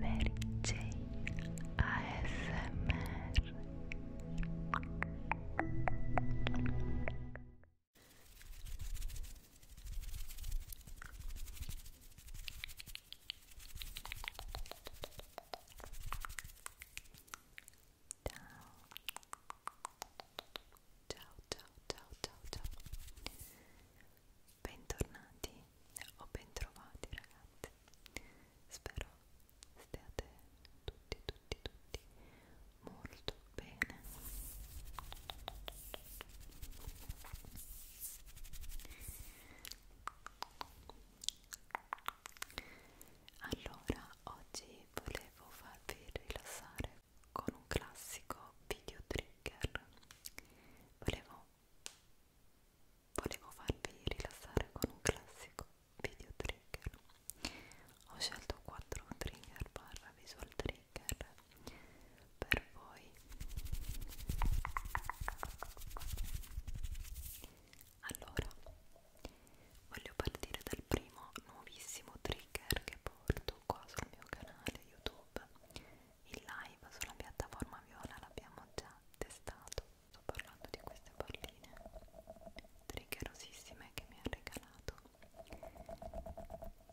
Mary Jane ASMR Ciao ciao ciao ciao ciao ciao Bentornati o bentrovati ragazzi spero stiate tutti tutti tutti molto bene allora oggi volevo farvi rilassare con un classico video trigger volevo Volevo farvi rilassare con un classico video trigger. Ho scelto 4 trigger barra visual trigger per voi. Allora, voglio partire dal primo nuovissimo trigger che porto qua sul mio canale YouTube il live sulla piattaforma viola l'abbiamo già testato sto parlando di queste palline triggerosissime che mi ha regalato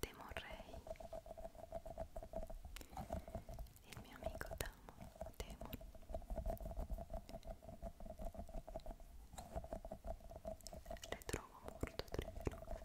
Demorrey il mio amico Damo Demo le trovo molto triggerose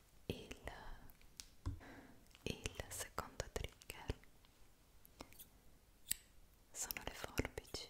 il, il secondo trigger sono le forbici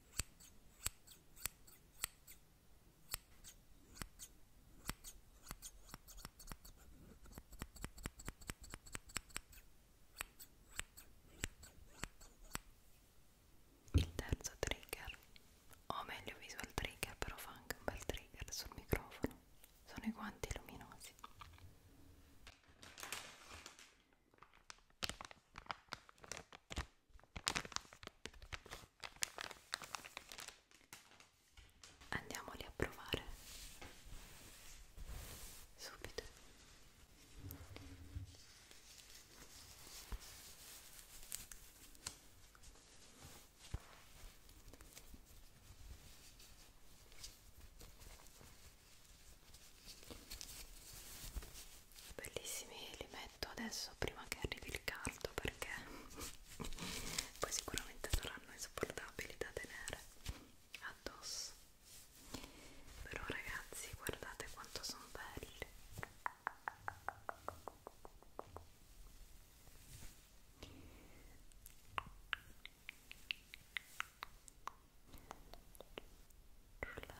Il terzo trigger, o meglio visual trigger, però fa anche un bel trigger sul microfono, sono i guanti luminosi. Andiamoli a provare subito bellissimi li metto adesso prima che arrivi il caldo perché poi sicuramente saranno insopportabili da tenere addosso però ragazzi guardate quanto sono belli Relax.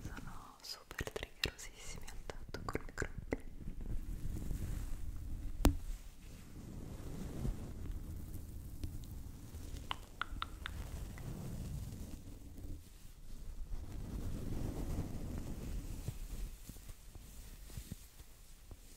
sono super triggerosissimi al tatto col microfono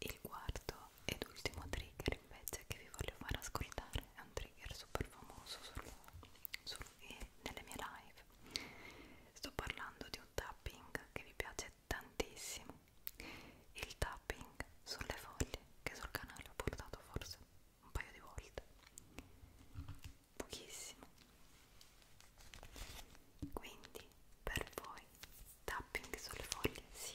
Il quarto ed ultimo trigger invece che vi voglio far ascoltare è un trigger super famoso sul, sul, eh, nelle mie live. Sto parlando di un tapping che vi piace tantissimo. Il tapping sulle foglie che sul canale ho portato forse un paio di volte. Pochissimo quindi per voi tapping sulle foglie sì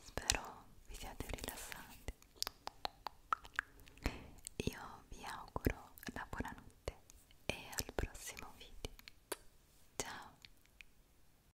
Spero vi siate rilassati. Io vi auguro la buonanotte e al prossimo video. Ciao!